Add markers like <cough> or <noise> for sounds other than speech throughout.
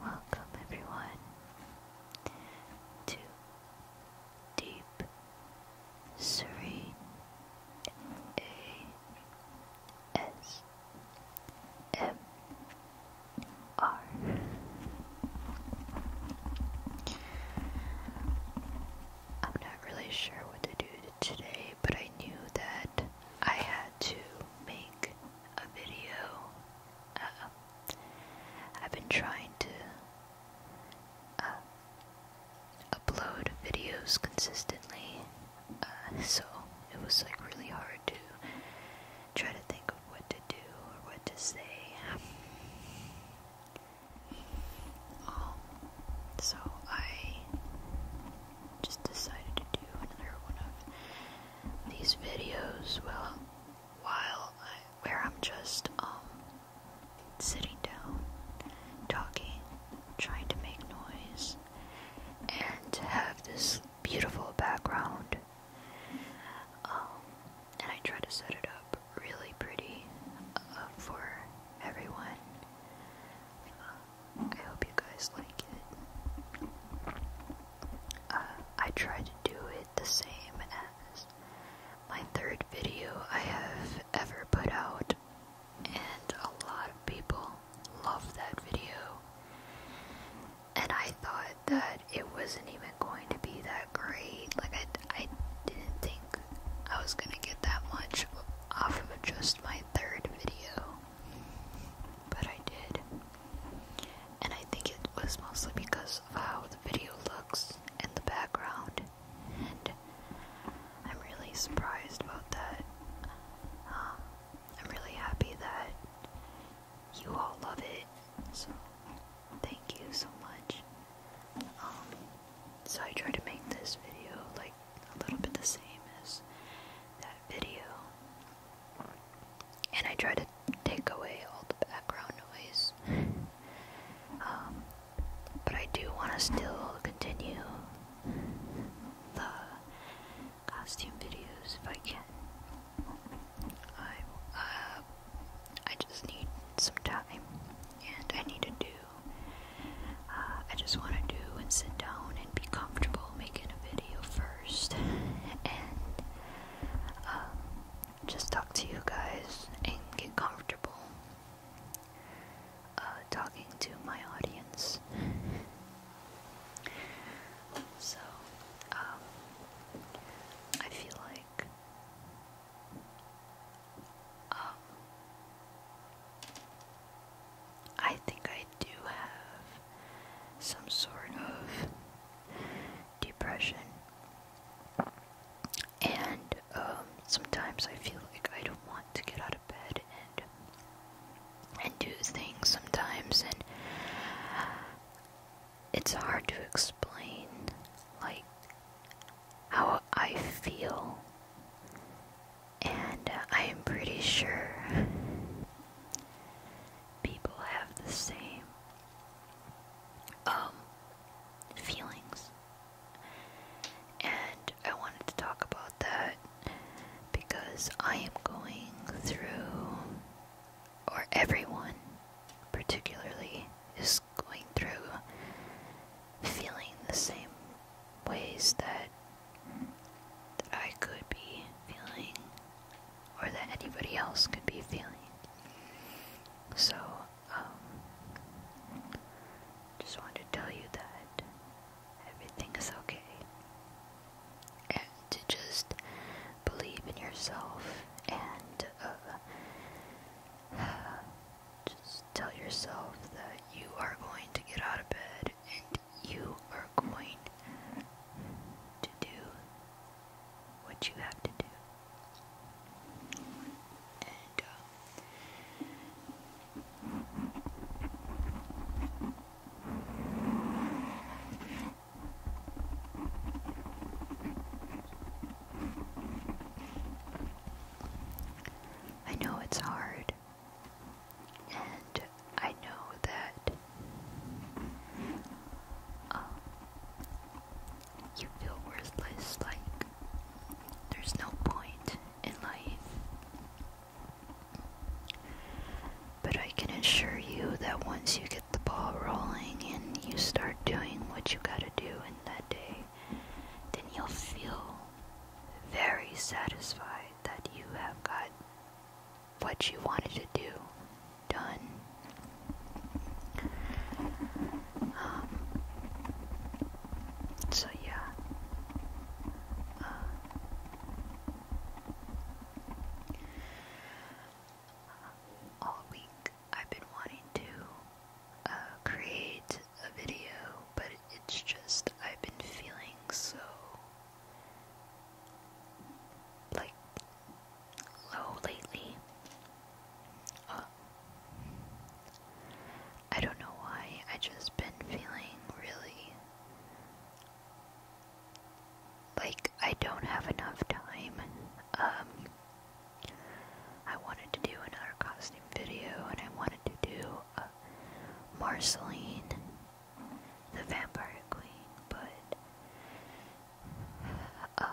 Welcome, everyone, to Deep Serene M R. I'm not really sure what to do today, but I knew that I had to make a video. I've been trying to uh, upload videos consistently, uh, so it was like really hard to try to think of what to do or what to say. Um, so I just decided to do another one of these videos well while I, where I'm just um, sitting down, talking, trying to make noise, and have this beautiful background. Um, and I try to set it up really pretty uh, for everyone. Uh, I hope you guys like it. Uh, I tried to do it the same as my third video I have ever put out, and a lot of people love that video. And I thought that it wasn't even going to be that great. Like, I, I didn't think I was gonna get that much off of just my third video. But I did. And I think it was mostly because of how the video looks in the background. And I'm really surprised about that. Um, I'm really happy that you all love it. So thank you so much. Um, so I try to make this video like a little bit the same as that video. And I try to take away all the background noise. Um, but I do want to still continue the costume videos if I can. I'm, uh, I just need some time, and I need to do uh, I just want to do and sit down and be comfortable making a video first, <laughs> and um, just talk to you guys and get comfortable uh, talking to my audience. <laughs> so, um, I feel like. Um, I think I do have some sort of depression. And um, sometimes I feel like I don't want to get out of bed and and do things sometimes and it's hard to explain like how I feel and uh, I am pretty sure people have the same um feelings. And I wanted to talk about that because I am going through or everyone particularly is going through feeling the same ways that that I could be feeling or that anybody else could be feeling. So, um, just wanted to tell you that everything is okay. And to just believe in yourself and, uh, <sighs> just tell yourself that you are going to get out of bed and you are going to do what you have to do. Uh, I know it's hard and I know that um, you feel worthless, like there's no point in life. But I can assure you that once you get the ball rolling and you start doing what you gotta do in that day, then you'll feel very satisfied that you have got what you wanted to do done. Um, so, yeah. Uh, all week I've been wanting to uh, create a video, but it's just I've been feeling so like low lately. Uh, I don't know why. I just been feeling really like I don't have enough time. Um, I wanted to do another costume video, and I wanted to do a Marceline the Vampire Queen, but uh,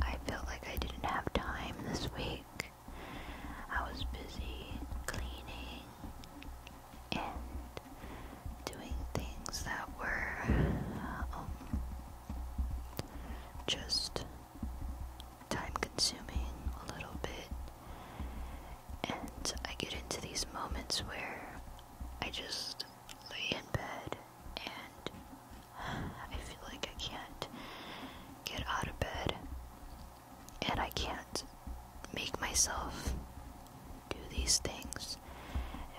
I felt like I didn't have time this week. I was busy cleaning and doing things that were um, just time consuming a little bit. And I get into these moments where I just lay in bed and <sighs> I feel like I can't get out of bed and I can't make myself do these things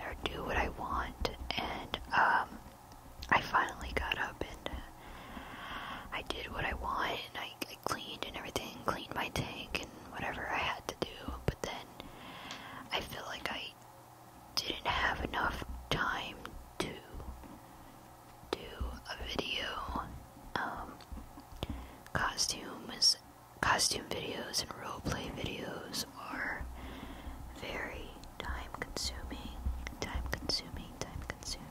or do what I want and um I finally got up and uh, I did what I wanted. I, cleaned and everything, cleaned my tank and whatever I had to do. But then I feel like I didn't have enough time to do a video. Um, costumes, costume videos, and role play videos are very time consuming, time consuming, time consuming.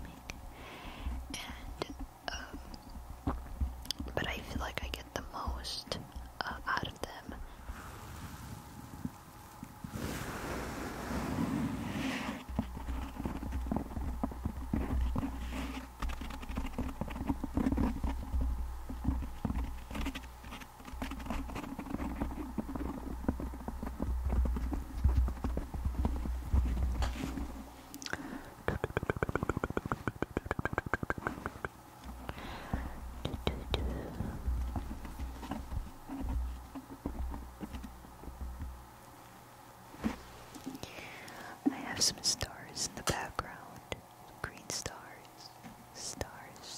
And, um, but I feel like I get the most uh, out of them. I have some stars in the background. Green stars, stars,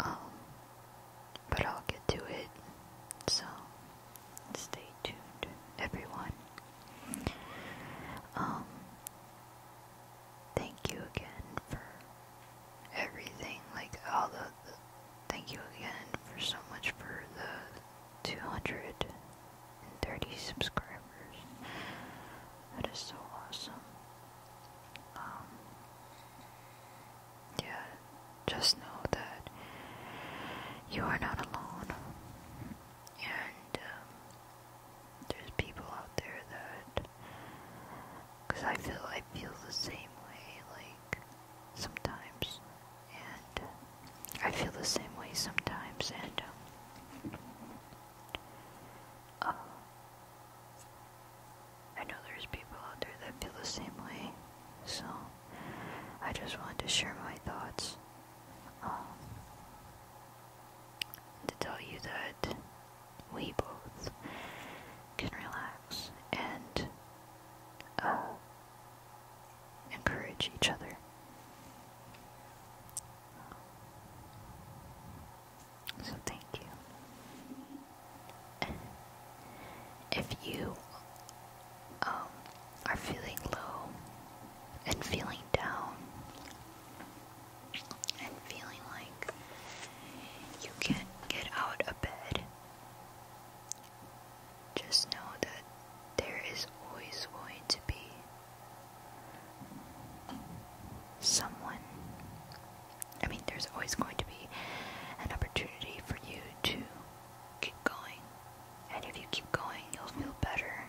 Um, but I'll get to it. So stay tuned, everyone. Um, thank you again for everything. Like all the, the thank you again for so much for the. 230 subscribers. That is so awesome. Um, yeah, just know that you are not alone, and um, there's people out there that, because I feel I feel the same way, like sometimes, and I feel the same way sometimes, and um, uh, I know there's people out there that feel the same way, so I just wanted to share my thoughts. Um, to tell you that we both can relax and uh, encourage each other. So thank you. if you um, are feeling low and feeling down and feeling like you can't get out of bed, just know that there is always going to be someone I mean, there's always going to be an opportunity for you to keep going. And if you keep going, you'll feel better.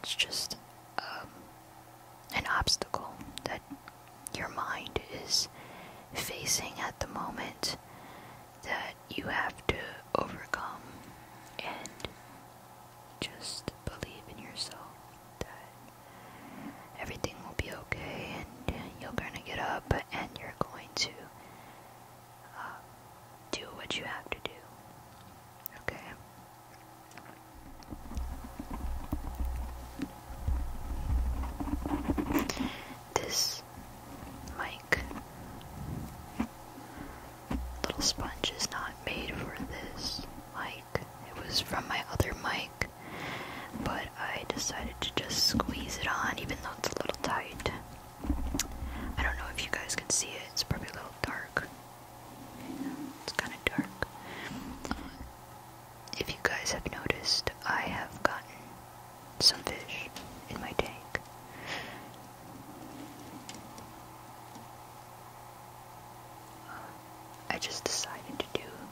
It's just um, an obstacle that your mind is facing at the moment that you have to overcome. And just believe in yourself. Uh, everything will be okay and uh, you're gonna get up and you're going to uh, do what you have to do. Okay? This mic, little sponge, is not made for this mic. It was from my other mic, but I decided to just squeeze it on even though it's a little tight. I don't know if you guys can see it, it's probably a little dark. It's kind of dark. If you guys have noticed, I have gotten some fish in my tank. I just decided to do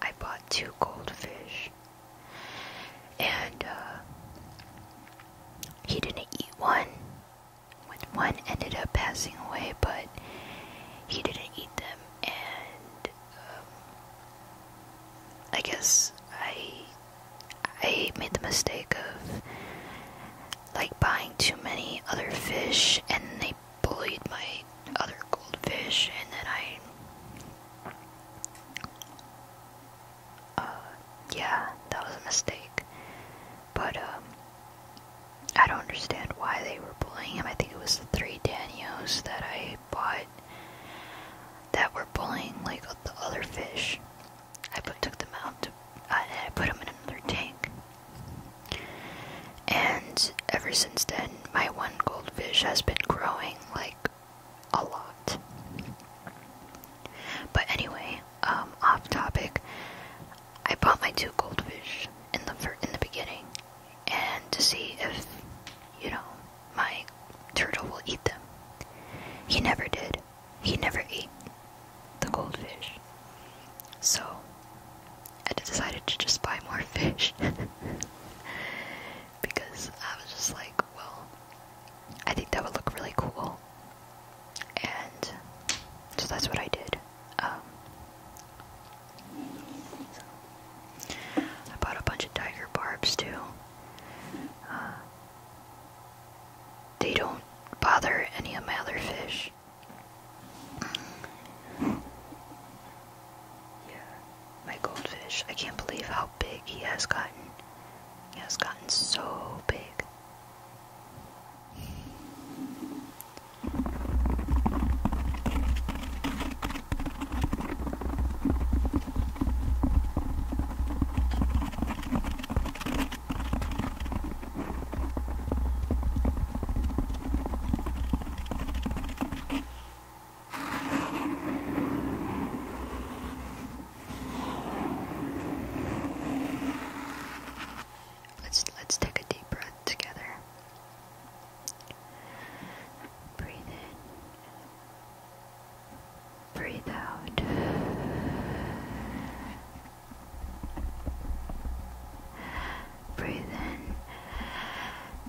I bought two goldfish, and uh, he didn't eat one. one ended up passing away, but he didn't eat them, and um, I guess I I made the mistake of like buying too many other fish, and they bullied my other goldfish, and then I, uh, yeah, that was a mistake. But um, I don't understand why they were bullying him. I think it was the three danios that I bought that were bullying like the other fish. I put, took them out to, uh, and I put them in another tank. And ever since then, my one goldfish has been growing like a lot. But anyway, um, off topic. I bought my two goldfish in the in the beginning, and to see if you know my turtle will eat them. He never did. He never ate the goldfish. So I decided to just buy more <laughs> fish because I was just like, well, I think that would look really cool, and so that's what I did. Um, I bought a bunch of tiger barbs too. Uh, they don't bother any of my other fish. Yeah, my goldfish. I can't believe how big he has gotten. He has gotten so big. Let's let's take a deep breath together. Breathe in. Breathe out. Breathe in.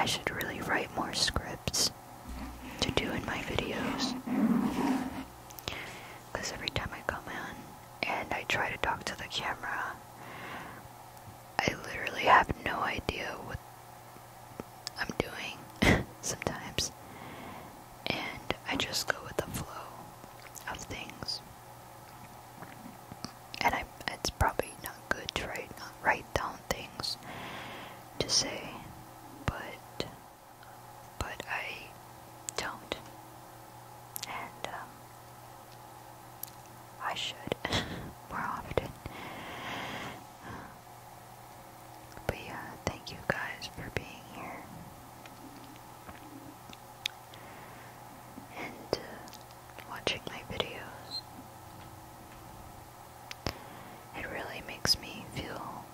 I should really write more scripts to do in my videos. Because every time I come in and I try to talk to the camera, I literally have no idea what I'm doing <laughs> sometimes. And I just go with the flow of things. And I, it's probably not good to write, not write down things to say, but but I don't, and um, I should <laughs> more often. But yeah, thank you guys for being here. And uh, watching my videos. It really makes me feel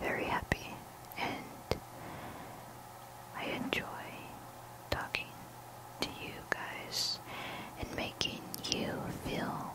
very happy and I enjoy talking to you guys and making you feel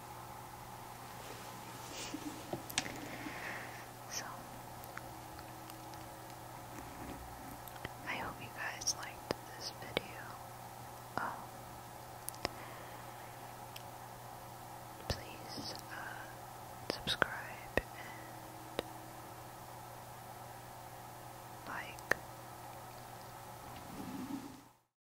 so, I hope you guys liked this video. Um, please uh, subscribe and like.